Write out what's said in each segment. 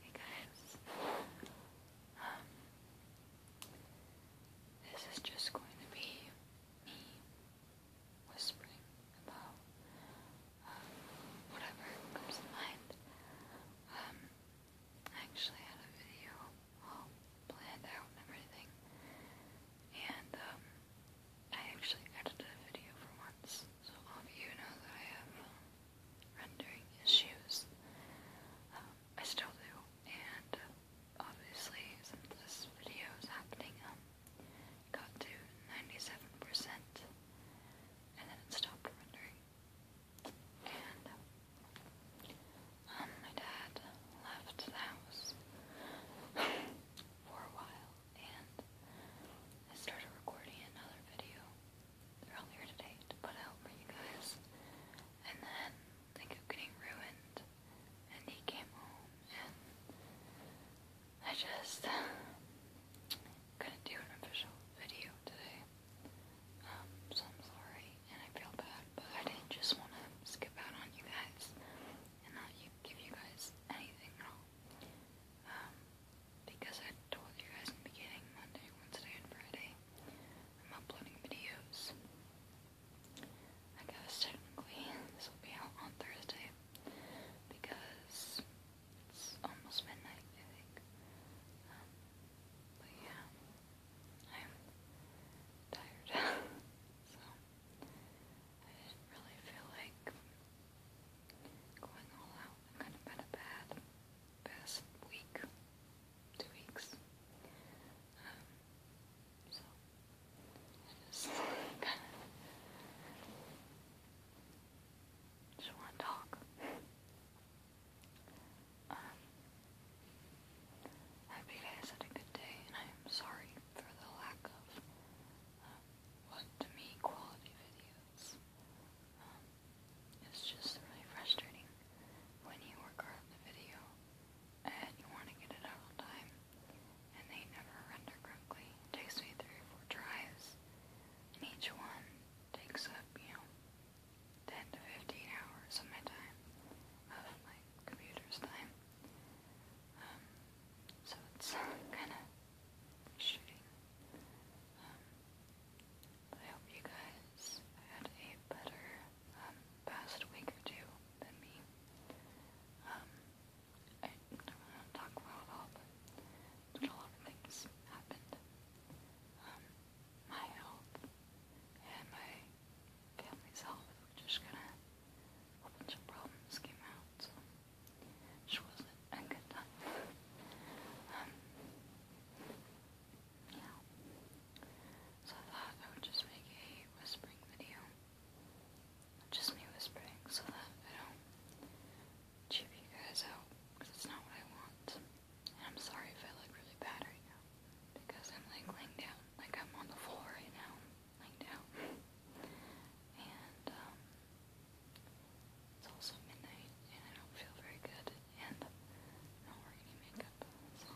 Hey guys, um, this is just going to be me whispering about um, whatever comes to mind. Um, I actually had a video all planned out and everything, and um, I actually edited a video for once. So all of you know that I have uh, rendering issues. Um, I still do, and uh, obviously since this video is happening, um, got to 97% and then it stopped rendering. And uh, um, my dad left the house for a while and I started recording another video earlier today to put out for you guys. And then they kept getting ruined, and he came home, and I just couldn't do an official video today. Um, so I'm sorry, and I feel bad, but I didn't just want to skip out on you guys and not give you guys anything at all. Um, because I told you guys in the beginning, Monday, Wednesday, and Friday, I'm uploading videos. I guess technically this will be out on Thursday because it's almost midnight, I think. Um, but yeah, I'm tired. so I didn't really feel like going all out. i kind of had a bad past week, two weeks. Um, so, I just kind of just want to talk. Um, hope you guys had a good day, and I am sorry for the lack of um, what to me quality videos. Um, it's just really frustrating when you work hard on the video and you want to get it out on time and they never render correctly. takes me three or four tries and each one takes up, you know, 10 to 15 hours of my time, of my computer's time. Um, so it's kind of um, I hope you guys had a better um, past week or two than me. Um, I don't want to talk about all, but a lot of things happened. my health and my family's health just kind of a bunch of problems came out. Which wasn't a good time. Um, so I thought I would just make a whispering video. Just me whispering so that I don't cheap you guys out because it's not what I want. And I'm sorry if I look really bad right now because I'm like laying down, like I'm on the floor right now, laying down. And, um, it's also midnight and I don't feel very good and I don't wear any makeup. So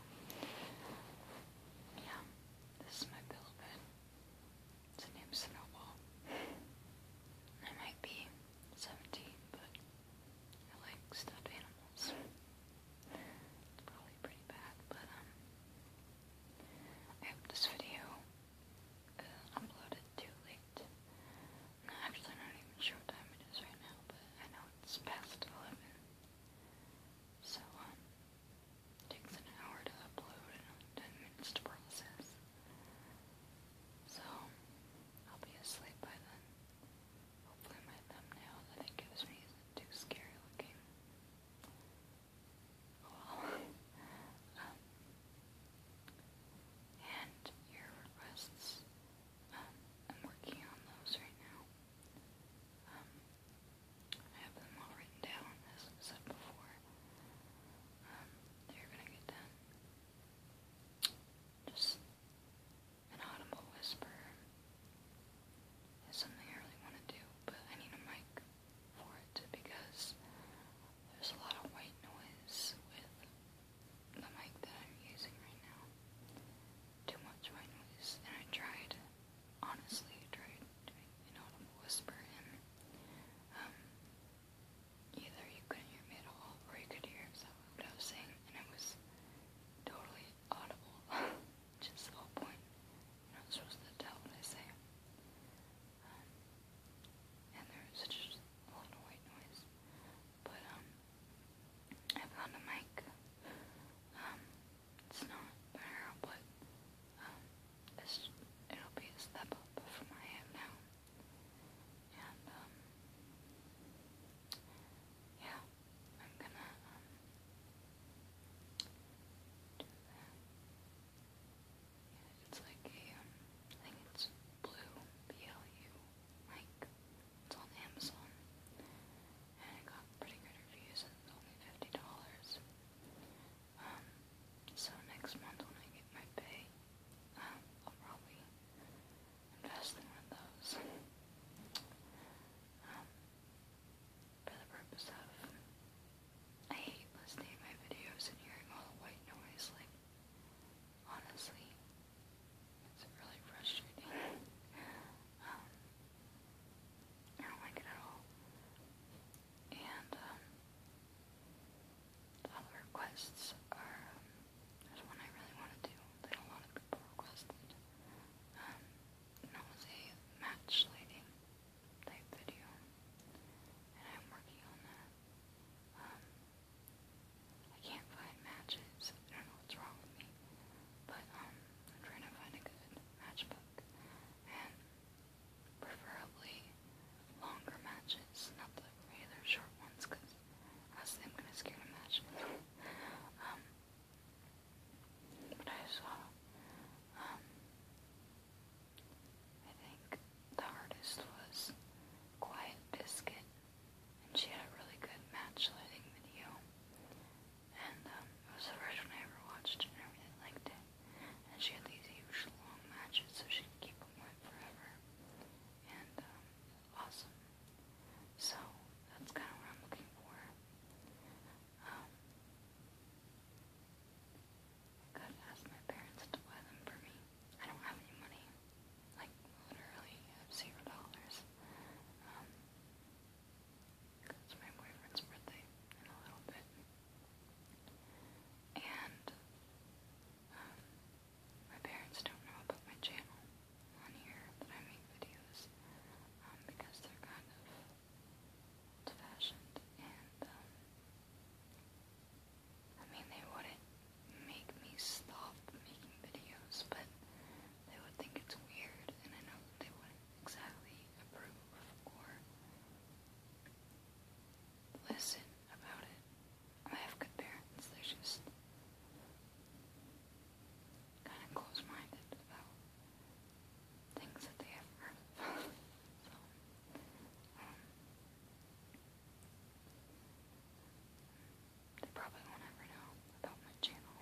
yeah, this is my pillow bed. It's named Snowball. I might be 17, but I like stuffed animals. It's probably pretty bad, but um I hope this video uploaded uh, too late. I'm actually not even sure what time it is right now, but I know it's past 11. So, um, it takes an hour to upload and 10 minutes to process. So, I'll be asleep by then. Hopefully my thumbnail that it gives me isn't too scary looking. Well, um, and your requests. Um, I'm working on those right now. Um, I have them all written down, as i said before. Um, they're gonna get done. Just an audible whisper is something I really want to do, but I need a mic for it because there's a lot of white noise with the mic that I'm using right now. Too much white noise, and I tried, honestly, I tried doing an audible whisper, and um, either you couldn't hear me at all, or you could hear exactly what I was saying, and it was totally audible, which the whole point. You're not supposed to tell what I say. Um, and there's just a lot of white noise. But, um, I found a mic. Um, it's not better, but, um, it'll be a step up from what I now. And, um, yeah, I'm gonna, um, it's like um, I think it's blue, BLU, like, it's on Amazon, and it got pretty good reviews, and it's only $50, um, so next month when I get my pay, um, I'll probably invest in one of those, um, for the purpose of, I hate listening to my videos and hearing all the white noise, like, Honestly, it's really frustrating. Um, I don't like it at all. And, um, other requests are, um, there's one I really want to do that a lot of people requested. that was a match type video. And I'm working on that. Um, I can't find matches. I don't know what's wrong with me. But, um, I'm trying to find a good matchbook. And preferably longer matches, not the regular short ones, because honestly I'm gonna scare the match. Um, but I saw, I think the hardest was Quiet Biscuit, and she had a really good match lighting video. And um, it was the first one I ever watched, and I really liked it. And she had these huge long matches, so she could keep them wet forever. And um, awesome. So that's kind of what I'm looking for. Um, I've asked my parents to buy them for me. I don't have any money. Like, literally, zero dollars. Um, it's my boyfriend's birthday in a little bit. And, um, my parents don't know about my channel on here that I make videos, um, because they're kind of old-fashioned and, um, I mean, they wouldn't make me stop making videos, but they would think it's weird, and I know they wouldn't exactly approve or listen about it. I have good parents, they're just kind of close minded about things that they have heard They probably won't ever know about my channel.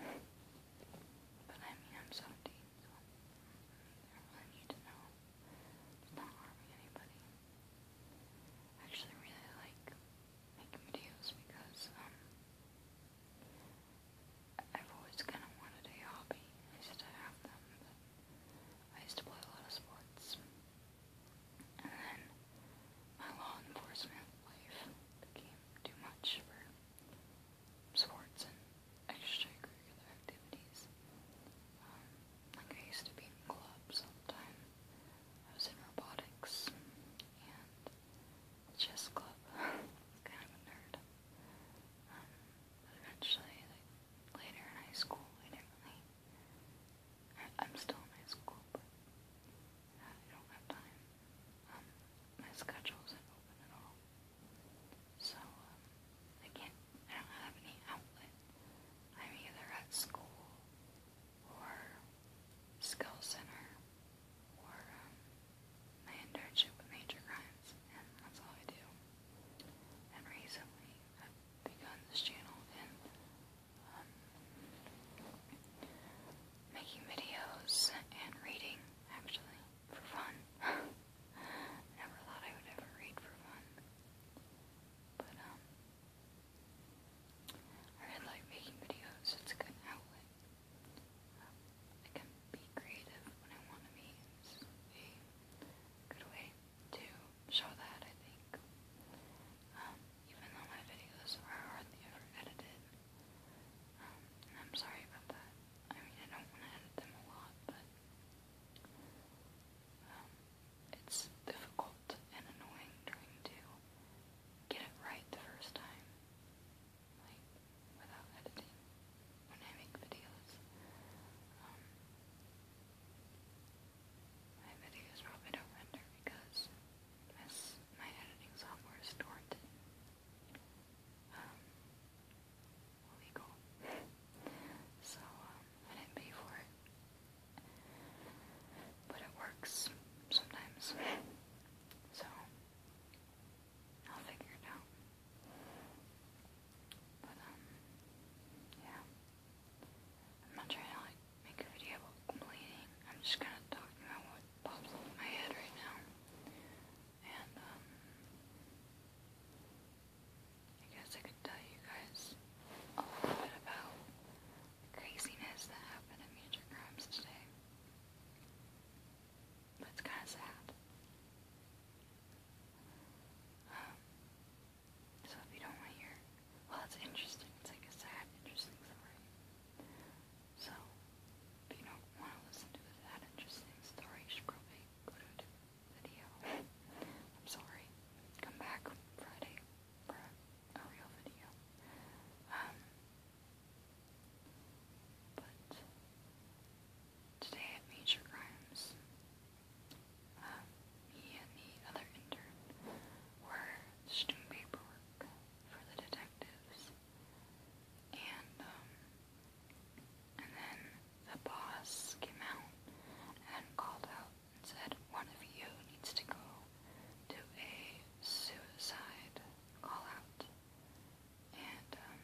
But I mean, I'm so they don't need to know. It's not harming anybody. I actually really like making videos because, um, I've always kind of wanted a hobby. I used to have them, I used to play a lot of sports. And then my law enforcement life became too much for sports and extracurricular activities. Um, like I used to be in clubs all I was in robotics and chess club. kind of a nerd. Um, but eventually, like, later in high school, I didn't really I, am still in my school, but I don't have time. Um, my schedule isn't open at all. So, um, I can't, I don't have any outlet. I'm either at school or skill center or um, my internship with Major Crimes, and that's all I do. And recently, begun this channel and um, making videos and reading, actually, for fun. never thought I would ever read for fun. But, um, I really like making videos. It's a good outlet. Um, I can be creative when I want to be. It's a good way to show that, I think. Um, even though my videos are hardly ever edited. Um, and I'm sorry about that. I mean, I don't want to edit them a lot, but um, it's difficult and annoying trying to get it right the first time, like, without editing, when I make videos. My videos probably don't render because this, my editing software is torrent. Um, illegal. so, um, I didn't pay for it. But it works sometimes. So, I'll figure it out. But um, yeah. I'm not trying to like make a video about complaining. I'm just kind of talking about what pops up in my head right now. And um, I guess I could tell you guys a little bit about the craziness that happened at Major Crimes today. But it's kind of sad. Um, so if you don't want to hear, well, it's interesting. It's like a sad, interesting story. So if you don't want to listen to a sad, interesting story, you should probably go to a different video. I'm sorry. Come back Friday for a, a real video. Um, but today at Major Crimes, me um, and the other intern were doing paperwork for the detectives. And, um, and then the boss came out and called out and said, one of you needs to go do a suicide call out. Um,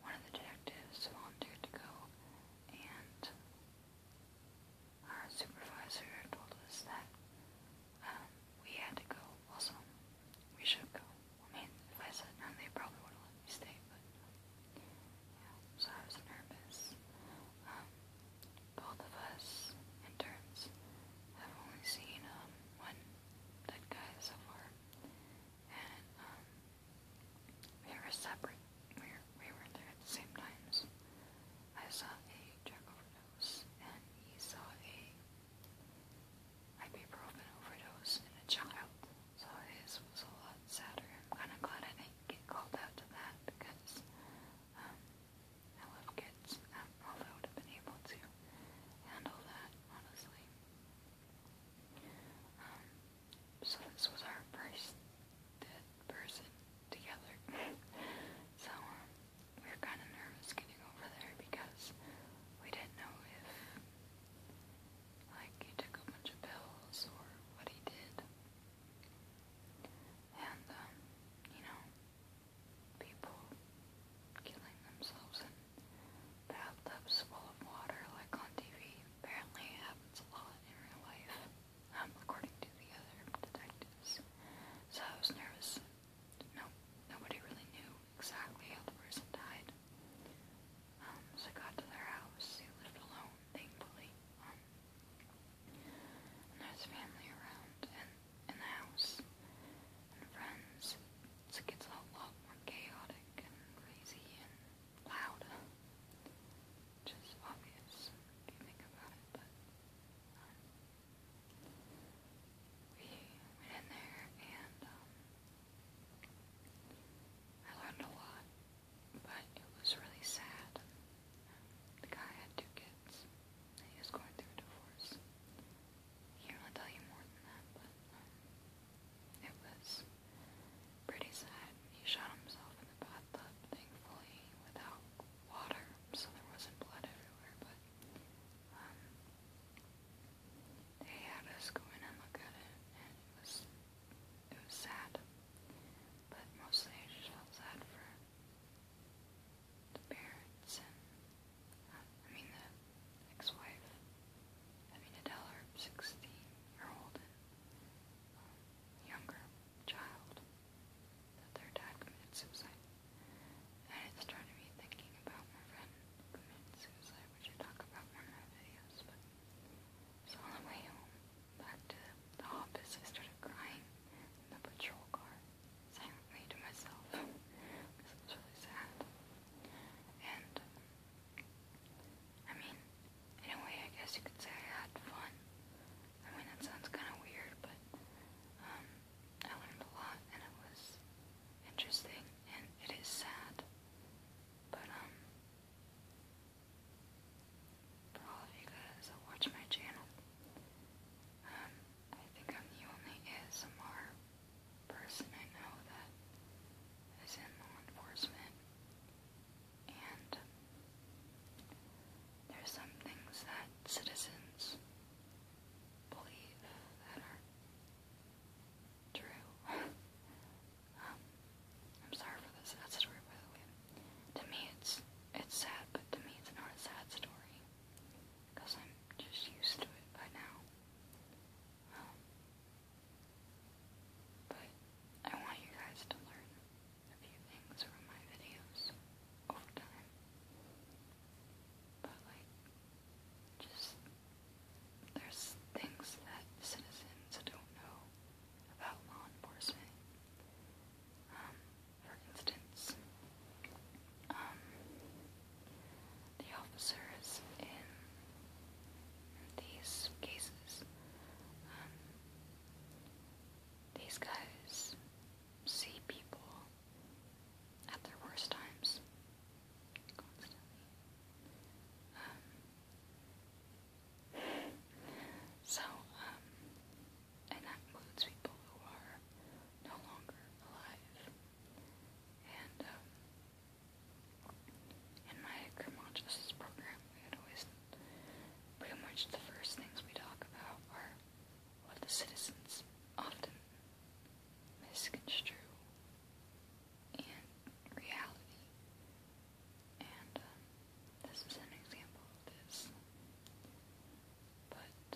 one of the detectives volunteered to go, and our supervisor told us that um, we had to go also. We should go. I mean, if I said no, they probably would have let me stay, so I was nervous. Um, both of us, interns, have only seen um, one dead guy so far, and we were separate. We were, we were there at the same times. I saw a drug overdose, and he saw a ibuprofen overdose in a child. So his was a lot sadder. I'm kind of glad I didn't get called out to that because um, I love kids. Um, although I would have been able to handle that, honestly. Um, so this was our first person together. so um, we were kind of nervous getting over there because we didn't know if like he took a bunch of pills or what he did. And um, you know, people killing themselves in bathtubs full of water like on TV. Apparently it happens a lot in real life, um, according to the other detectives. So I was nervous. No, nobody really knew exactly how the person died. Um, so I got to their house. They lived alone, thankfully. Um, and there's family around and in the house and friends. So it gets a lot more chaotic and crazy and loud. Which obvious think about it, but um, we went in there and um, I learned a lot, but it was really sad. The guy had two kids, and he was going through a divorce. I can tell you more than that, but um, it was pretty sad. He shot himself in the bathtub, thankfully, without water, so there wasn't blood everywhere, but um, they had us go in and look at it, and it was, it was sad, but mostly I just felt sad for the parents and, um, I mean, the ex-wife, I mean, Adele, 16-year-old, younger child that their dad committed suicide. And it started me thinking about my friend who committed suicide, which I talk about one of my videos. But so on the way home, back to the office, I started crying in the patrol car, silently to myself, because it was really sad. And um, I mean, in I guess you could say I had fun. I mean, that sounds kind of weird, but um, I learned a lot, and it was interesting, and it is sad, but um, for all of you guys that watch my channel, um, I think I'm the only ASMR person I know that is in law enforcement. And there's some things that citizens believe that are true. Um, I'm sorry for this sad story, by the way. To me, it's it's sad, but to me, it's not a sad story because I'm just used to it by now. Um, but I want you guys to learn a few things from my videos over time. But like, just, there's things that citizens don't know about law enforcement. Um, for instance, um, the officers in these cases, um, these guys see people at their worst times constantly. Um, so, um, and that includes people who are no longer alive. And, in my criminal program, we always pretty much the first things we talk about are what the citizens often misconstrue and reality. And um, this is an example of this. But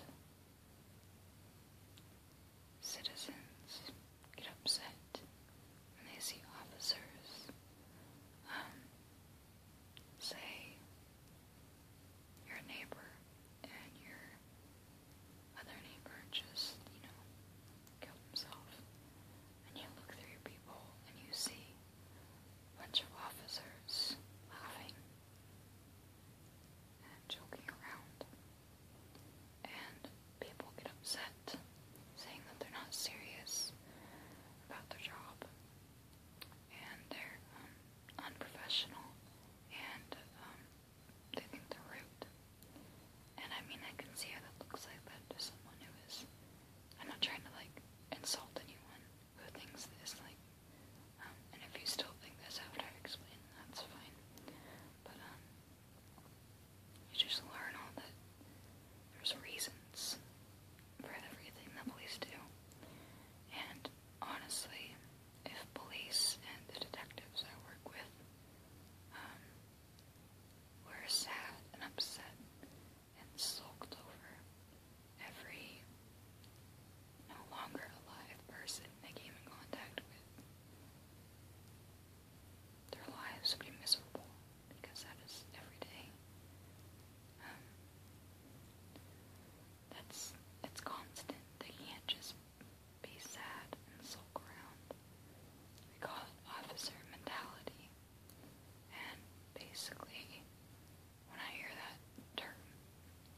citizens get upset when they see officers um, say your neighbor and your other neighbor just, you know, killed himself. And you look through people and you see a bunch of officers laughing and joking around. And people get upset saying that they're not serious about their job and they're um, unprofessional and um, they think they're rude. And I mean, I can see how that looks like that to someone who is. I'm not trying to like insult anyone who thinks this, like, um, and if you still think this after I've that's fine. But, um, you just learn all that there's reasons for everything that police do. And honestly, if police and the detectives I work with um, were sad and upset and sulked over every no longer alive person they came in contact with, their lives would be miserable because that is every day. Um, that's it's constant. They can't just be sad and sulk around. We call it officer mentality. And basically, when I hear that term,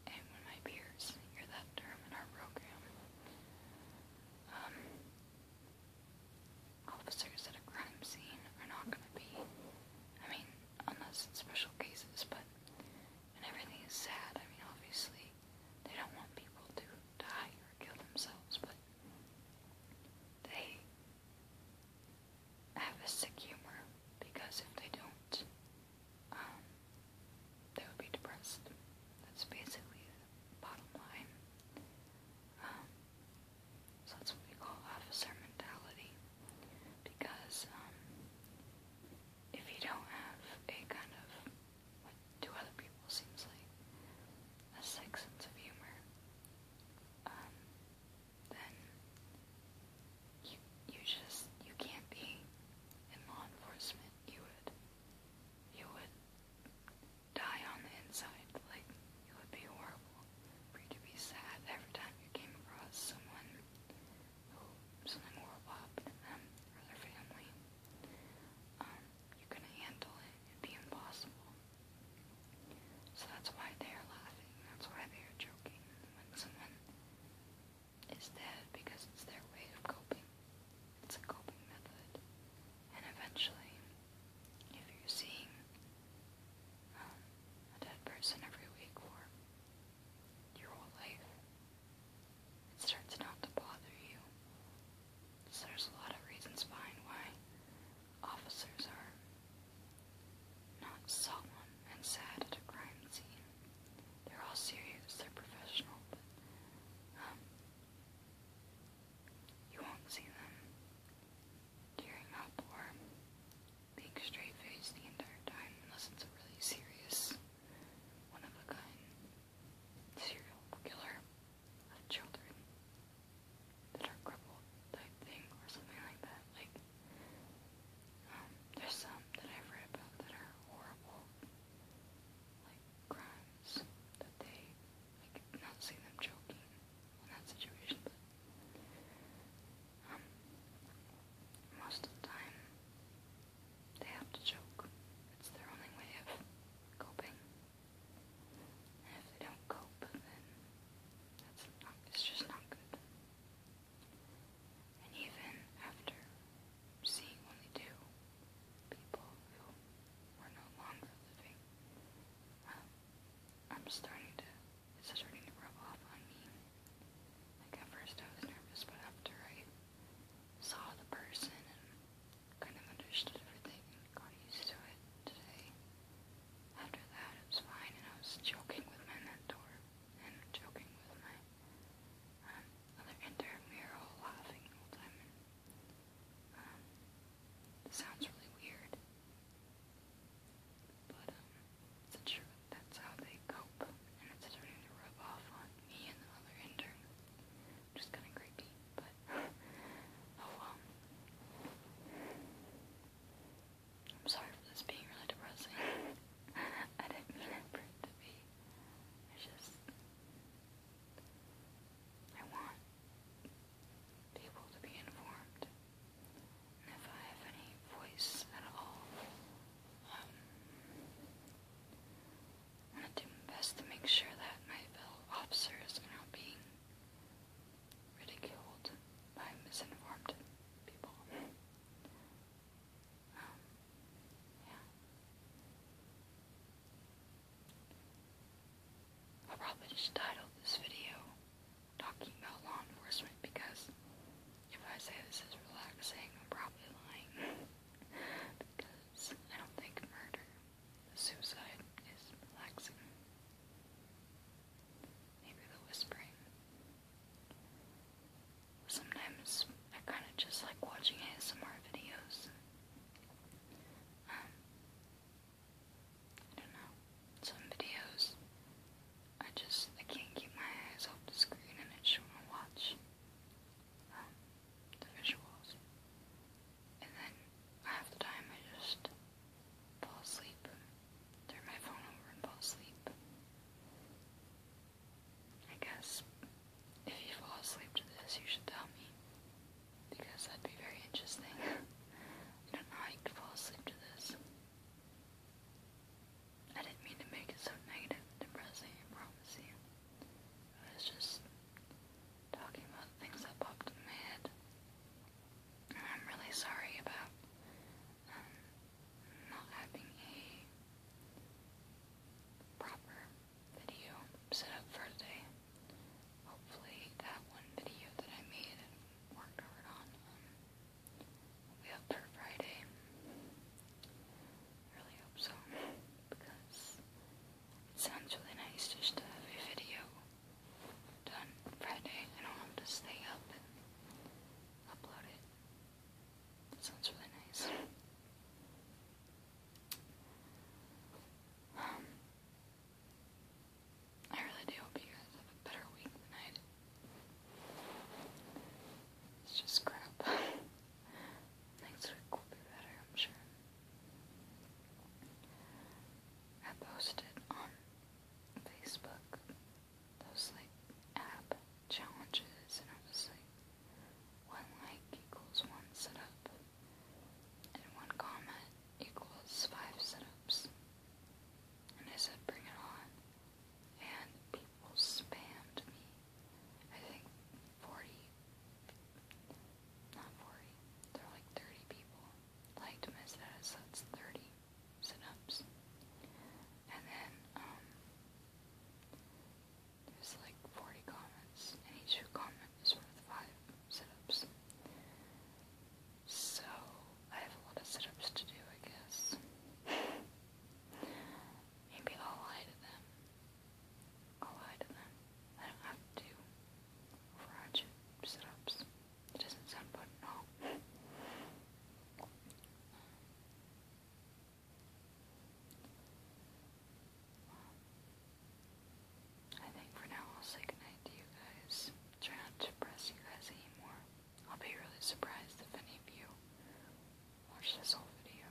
and when my peers hear that term in our program, um, officers at a crime scene are not going to be. I mean, unless it's special cases, but when everything is sad, I mean, obviously they don't want people to die or kill themselves, but they have a sick humor because if they don't, um, they would be depressed. That's basically the bottom line. Um, so that's what we call officer mentality. Because um, if you don't have a kind of what to other people seems like a sick sense of humor, um, then you you just you can't be in law enforcement. You would you would die on the inside. Like, it would be horrible for you to be sad every time you came across someone who something horrible happened to them or their family. Um, you couldn't handle it. It'd be impossible. So that's why they're laughing. That's why they're joking when someone is dead because it's their way of coping. It's a coping method and eventually, if you're seeing um, a dead person every week for your whole life, it starts not to bother you. there's a lot of reasons behind why officers are not solemn and sad at a crime scene. They're all serious, they're professional, but um, you won't see them during outdoor, being straight faced the entire time, unless it's a really serious, one of a kind serial killer of children that are crippled type thing or something like that. Like, um, there's some that I've read about that are horrible, like crimes that they like not see them choking in that situation. But, um, most of the time, they have to choke. It's their only way of coping. And if they don't cope, then that's not, it's just not good. And even after seeing only two people who were no longer living, um, I'm starting to, it's starting to rub off on me. Like at first I was nervous, but after I saw the person and kind of understood everything got used to it today, after that it was fine and I was joking with my mentor and joking with my um, other intramural laughing all the time sounds really weird, but it's the truth. That's how they cope, and it's starting to rub off on me and the other intern. Just kind of creepy, but oh well. I'm sorry for this being really depressing. I didn't mean it for it to be. I just. I want able to be informed. if I have any voice at all, um, I want to do my best to make sure that my fellow officers are not being ridiculed by misinformed people. Um, yeah. I'll probably just title this video talking about law enforcement because if I say this is relaxing, I'm probably lying. because I don't think murder, suicide is relaxing. Maybe the whispering. Sometimes I kind of just like watching ASMR videos. Um, I don't know. Some videos, I just, I can't keep my eyes off the screen and I just want to watch um, the visuals. And then half the time I just fall asleep, turn my phone over and fall asleep. I guess if you fall asleep to this, you should tell me because that'd be very interesting. I don't know how you could fall asleep to this. I didn't mean to make it so negative and depressing, I promise you. I was just talking about things that popped in my head. I'm really sorry about um, not having a proper video set up for today hopefully that one video that I made worked hard on um, will for Friday. really hope so, because it sounds really nice just to have a video done Friday. I don't have to stay up and upload it. sounds really nice. Um, I really do hope you guys have a better week than I It's just crap. Next week will be better, I'm sure. I posted on Facebook those like app challenges and I was like one like equals one setup and one comment equals five And I said, bring it on. And people spammed me. I think 40, not 40, there were like 30 people liked my status. That's 30 sit-ups. And then, um, there's like 40 comments, and each comment is of five sit-ups. So I have a lot of sit-ups to do, I guess. Maybe I'll lie to them. I'll lie to them. I don't have to do sit-ups. It doesn't sound good, at all. I think for now I'll say goodnight to you guys. Try not to press you guys anymore. I'll be really surprised if any of you watch this whole video.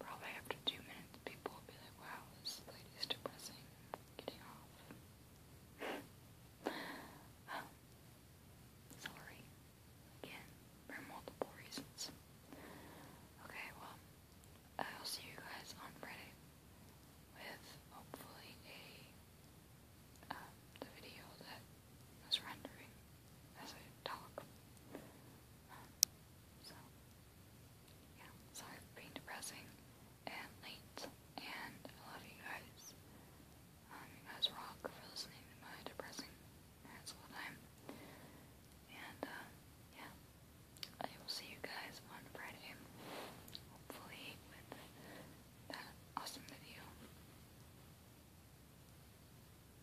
Probably after two minutes, people will be like, wow, this lady's depressing. i off. sorry. Again, for multiple reasons. Okay, well, I will see you guys on Friday with hopefully a um, the video that rendering as I talk. Um, so yeah, sorry for being depressing and late, and I love you guys. Um, you guys rock for listening to my depressing rants time. And yeah. I will see you guys on Friday, hopefully with that awesome video.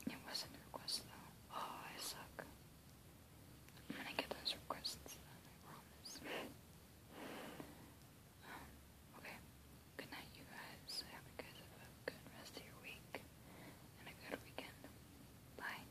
It wasn't a request though. Oh, I suck. I'm gonna get those requests then, I promise. Um, okay. Good night, you guys. I hope you guys have a good rest of your week and a good weekend. Bye.